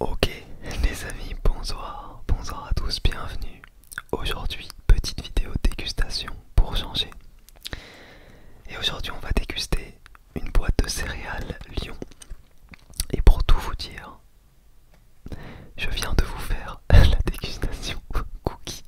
Ok les amis, bonsoir, bonsoir à tous, bienvenue. Aujourd'hui, petite vidéo dégustation pour changer. Et aujourd'hui, on va déguster une boîte de céréales Lion. Et pour tout vous dire, je viens de vous faire la dégustation cookie.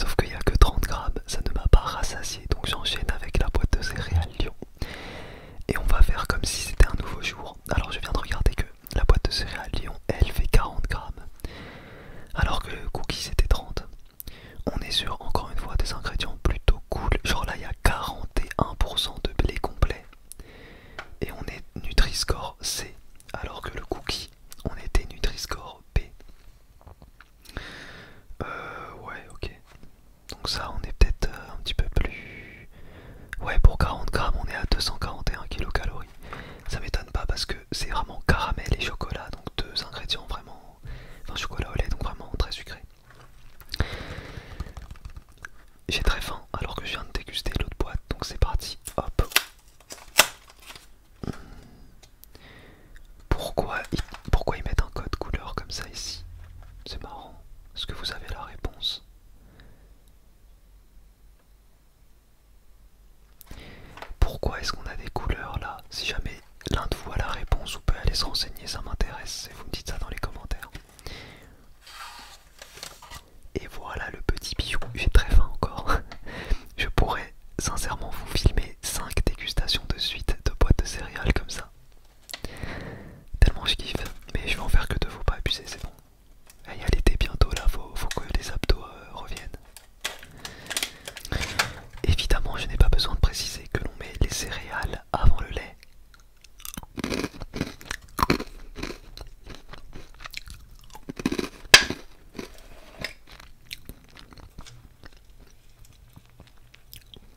Sauf qu'il n'y a que 30 grammes, ça ne m'a pas rassasié, donc j'enchaîne avec la boîte de céréales Lyon. Et on va faire comme si c'était un nouveau jour. Alors je viens de regarder que la boîte de céréales Lyon, elle fait 40 grammes. Alors que le cookie c'était 30. On est sur encore une fois des ingrédients plutôt cool. Genre là il y a 41% de blé complet. Et on est Nutri-Score C. Alors que le cookie, on était Nutri-Score B. Euh ouais ok. Donc ça on est peut-être euh, un petit peu plus... Ouais pour 40 grammes on est à 241 kcal. Ça m'étonne pas parce que c'est vraiment caramel et chocolat, donc deux ingrédients vraiment... Enfin chocolat au lait donc vraiment très sucré. J'ai très faim alors que je viens de déguster l'autre boîte, donc c'est parti, hop. Hmm. Pourquoi, pourquoi ils mettent un code couleur comme ça ici C'est marrant. Est-ce que vous avez la réponse pourquoi est-ce qu'on a des couleurs là Si jamais l'un de vous a la réponse ou peut aller se renseigner, ça m'intéresse et vous me dites ça dans les commentaires. Et voilà le petit bijou, j'ai très faim encore. Je pourrais sincèrement vous filmer 5 dégustations de suite de boîtes de céréales comme ça. Tellement je kiffe, mais je vais en faire que deux, faut pas abuser, c'est bon. Il y l'été bientôt là, faut, que les abdos euh, reviennent. Évidemment, je n'ai pas besoin de préciser que l'on met les céréales avant le lait.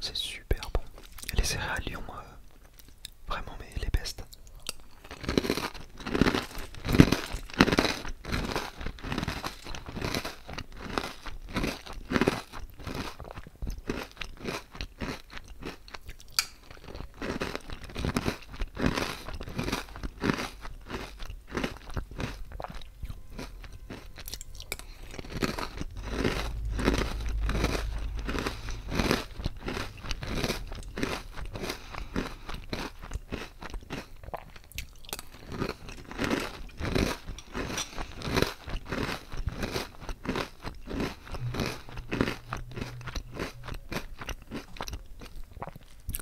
C'est super bon. Et les céréales Lyon, euh, vraiment, mais les bestes.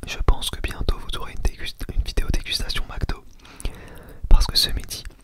Je pense que bientôt vous aurez une, vidéo dégustation McDo parce que ce midi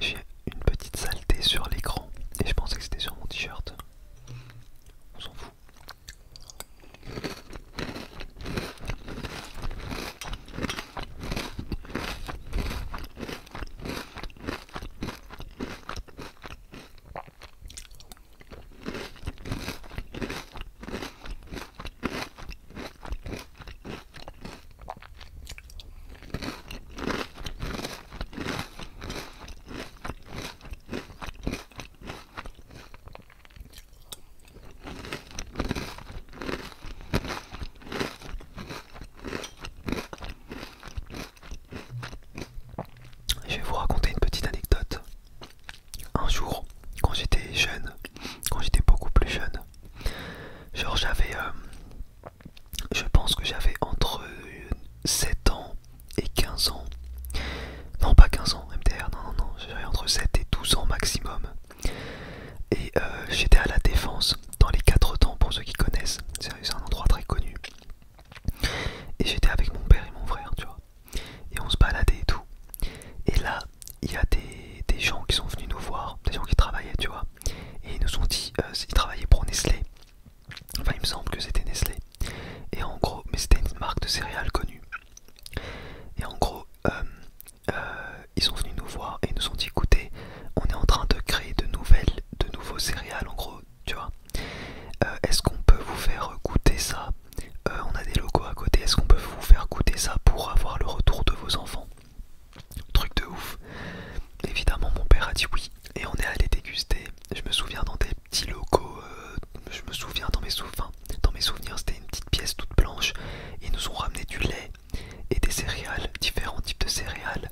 J'ai une petite saleté sur l'écran et je pensais que c'était sur mon t-shirt. On je vais vous raconter une petite anecdote un jour, quand j'étais jeune, quand j'étais beaucoup plus jeune, genre j'avais, euh, je pense que j'avais entre 7 ans et 15 ans, non pas 15 ans MDR, non non non, j'avais entre 7 et 12 ans maximum, et euh, j'étais à la défense dans les 4 temps pour ceux qui connaissent, c'est un endroit très connu, et j'étais avec mon père et mon frère, tu vois et on se baladait et tout. Et là, il y a des, gens qui sont venus nous voir, des gens qui travaillaient, tu vois. Et ils nous ont dit, euh, ils travaillaient pour Nestlé. Enfin, il me semble que c'était Nestlé. Et en gros, mais c'était une marque de céréales connue. Et en gros, euh, euh, ils sont venus nous voir et ils nous ont dit, écoutez, on est en train de créer de nouvelles, de nouveaux céréales, en gros, tu vois. Euh, est-ce qu'on peut vous faire goûter ça euh, On a des locaux à côté. Est-ce qu'on peut vous faire goûter ça pour avoir le retour de vos enfants Truc de ouf. Évidemment, mon père a dit oui et on est allé déguster. Je me souviens dans des petits locaux. Euh, je me souviens dans mes souvenirs. Dans mes souvenirs, c'était une petite pièce toute blanche. Ils nous ont ramené du lait et des céréales, différents types de céréales.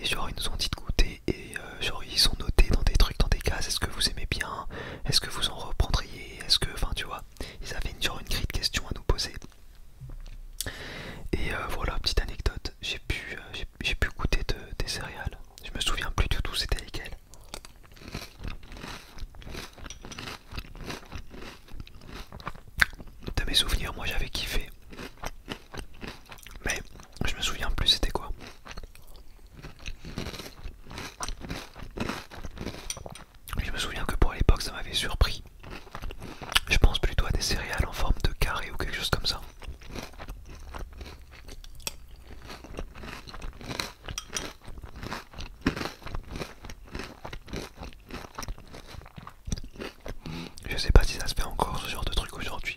Et genre ils nous ont dit de goûter et genre euh, ils sont notés dans des trucs, dans des cases, est-ce que vous aimez bien, est-ce que vous en reprendriez, est-ce que, enfin tu vois, ils avaient une, genre une grille de questions à nous poser. Et euh, voilà, petite anecdote, j'ai pu, euh, j'ai pu goûter des céréales, je me souviens plus du tout c'était lesquelles. De mes souvenirs, moi j'avais kiffé, mais je me souviens plus c'était quoi. Je me souviens que pour l'époque ça m'avait surpris. Je pense plutôt à des céréales en forme de carré ou quelque chose comme ça. Je sais pas si ça se fait encore ce genre de truc aujourd'hui.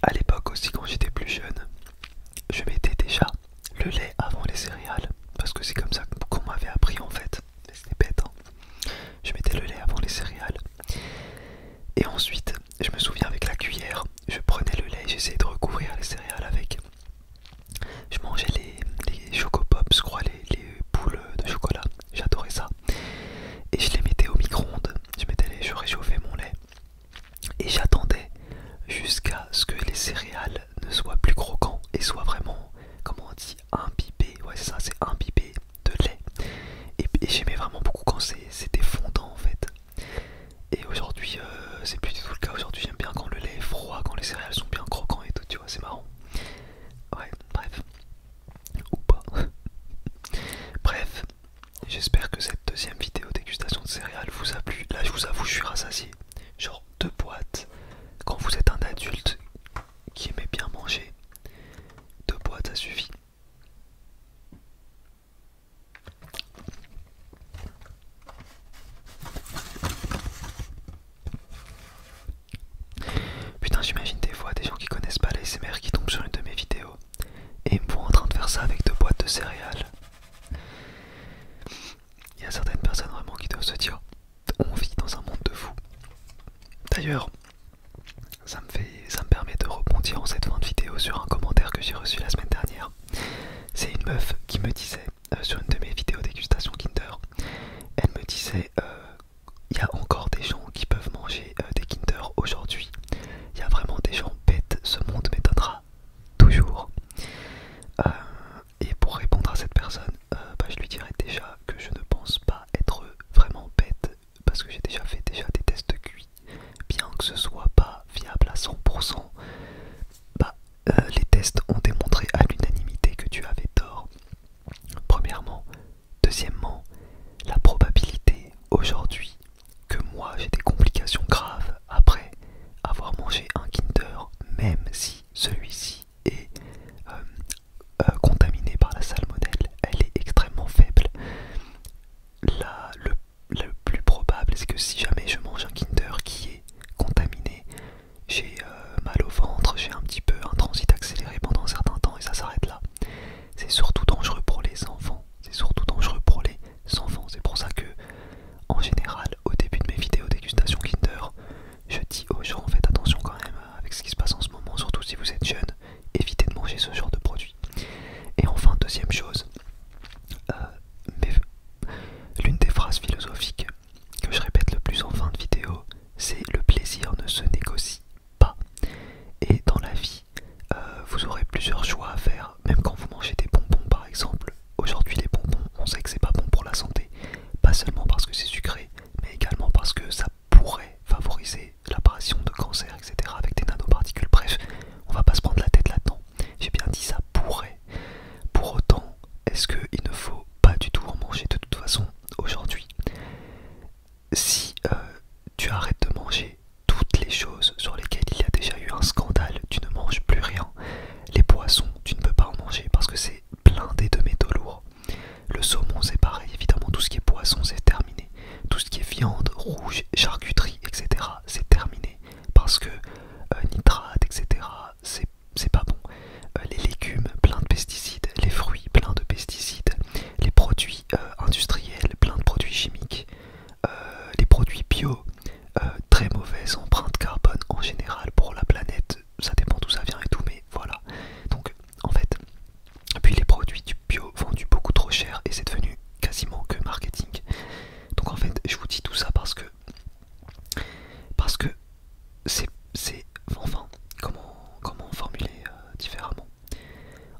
À l'époque aussi, quand j'étais plus jeune, je mettais déjà le lait avant les céréales parce que c'est comme ça qu'on m'avait appris en fait. c'est bête. Hein. Je mettais le lait avant les céréales et ensuite je me souviens avec la cuillère, je prenais le lait, j'essayais de recouvrir les céréales avec. Je mangeais les, les pops je crois, les, les boules de chocolat, j'adorais ça. Et je les mettais au micro-ondes, je, mettais les, je réchauffais mon lait. Et j'attendais jusqu'à ce que les céréales ne soient plus croquantes et soient vraiment, comment on dit, imbibées. Ouais, c'est ça, c'est imbibé de lait. Et, j'aimais vraiment beaucoup quand c'était fondant en fait. Et aujourd'hui, euh, c'est plus du tout le cas. Aujourd'hui, j'aime bien quand le lait est froid, quand les céréales sont bien croquants et tout, tu vois, c'est marrant. Ouais, bref. Ou pas. bref, j'espère que cette deuxième vidéo dégustation de céréales vous a plu. Là, je vous avoue, je suis rassasié. Genre deux boîtes. Quand vous êtes un adulte qui aimait bien manger, deux boîtes, ça suffit. Putain, j'imagine des fois des gens qui connaissent pas l'ASMR qui tombent sur une de mes vidéos et me voient en train de faire ça avec deux boîtes de céréales. Il y a certaines personnes vraiment qui doivent se dire on vit dans un monde de fous. D'ailleurs, ça me, permet de rebondir en cette fin de vidéo sur un commentaire que j'ai reçu la semaine dernière. C'est une meuf qui me disait, euh, sur une de mes vidéos dégustation Kinder, elle me disait, euh, il y a encore des gens qui peuvent manger euh, des Kinder aujourd'hui. Il y a vraiment des gens bêtes, ce monde m'étonnera toujours. et pour répondre à cette personne, bah, je lui dirais déjà que je ne pense pas être vraiment bête parce que j'ai déjà fait déjà des tests cuits, bien que ce soit pas viable à 100%, bah, euh, les tests ont démontré à l'unanimité que tu avais tort. Premièrement, deuxièmement, la probabilité aujourd'hui que moi j'ai des complications graves après avoir mangé un Kinder, même si celui-ci est euh, euh, contaminée par la salmonelle, elle est extrêmement faible. le, plus probable, c'est que si jamais je mange un Kinder qui est contaminé, j'ai euh, mal au ventre, j'ai un petit peu un transit accéléré pendant un certain temps et ça s'arrête là. C'est surtout dangereux pour les enfants. C'est surtout dangereux pour les enfants. C'est pour ça que, en général, au début de mes vidéos dégustation Kinder, je dis aux gens faites attention quand même avec ce qui se passe en ce moment, surtout si vous êtes jeune éviter de manger ce genre de produit. Et enfin, deuxième chose, euh, l'une des phrases philosophiques que je répète le plus en fin de vidéo, c'est le plaisir ne se négocie pas. Et dans la vie, euh, vous aurez plusieurs choix à faire, même quand vous mangez des bonbons par exemple. Aujourd'hui, les bonbons, on sait que c'est pas bon pour la santé, pas seulement parce que c'est sucré, mais également parce que ça pourrait favoriser l'apparition de cancers, etc. avec des nanoparticules. Bref, on va pas se prendre la tête là-dedans. J'ai bien dit ça pourrait. Pour autant, est-ce qu'il ne faut pas du tout en manger de toute façon aujourd'hui Si euh, tu arrêtes de manger toutes les choses sur lesquelles il y a déjà eu un scandale, tu ne manges plus rien. Les poissons, tu ne peux pas en manger parce que c'est plein blindé de métaux lourds. Le saumon, c'est pareil, évidemment, tout ce qui est poisson, c'est terminé. Tout ce qui est viande, rouge, charcuterie, etc., c'est terminé. Parce que euh, nitrate, etc., c'est pas bon. Euh, les légumes, plein de pesticides. Les fruits, plein de pesticides. Les produits euh, industriels, plein de produits chimiques. les produits bio, très mauvaise empreinte carbone en général pour la planète. Ça dépend d'où ça vient et tout, mais voilà. Donc en fait. Puis les produits du bio vendus beaucoup trop cher et c'est devenu quasiment que marketing. Donc en fait, je vous dis tout ça parce que parce que c'est enfin comment comment formuler euh, différemment.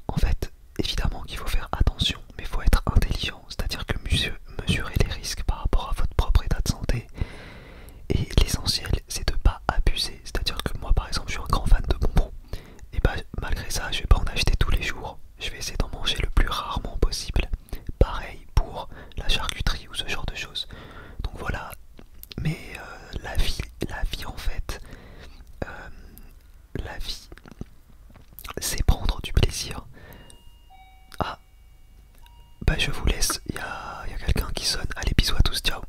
En fait, évidemment qu'il faut faire attention, mais il faut être intelligent, c'est-à-dire que mesurer les risques par rapport à votre propre état de santé. Et l'essentiel, c'est de pas abuser, c'est-à-dire que moi, par exemple, je suis un grand fan de bonbons. Et bah malgré ça, je vais pas en acheter tous les jours. Je vais essayer d'en manger le plus rarement possible. Pareil pour la charcuterie ou ce genre de choses. Donc voilà. Mais euh, la vie, la vie en fait, euh, la vie, c'est prendre du plaisir. Ah, bah je vous laisse. Il y a, y a quelqu'un qui sonne. Allez, bisous à tous, ciao.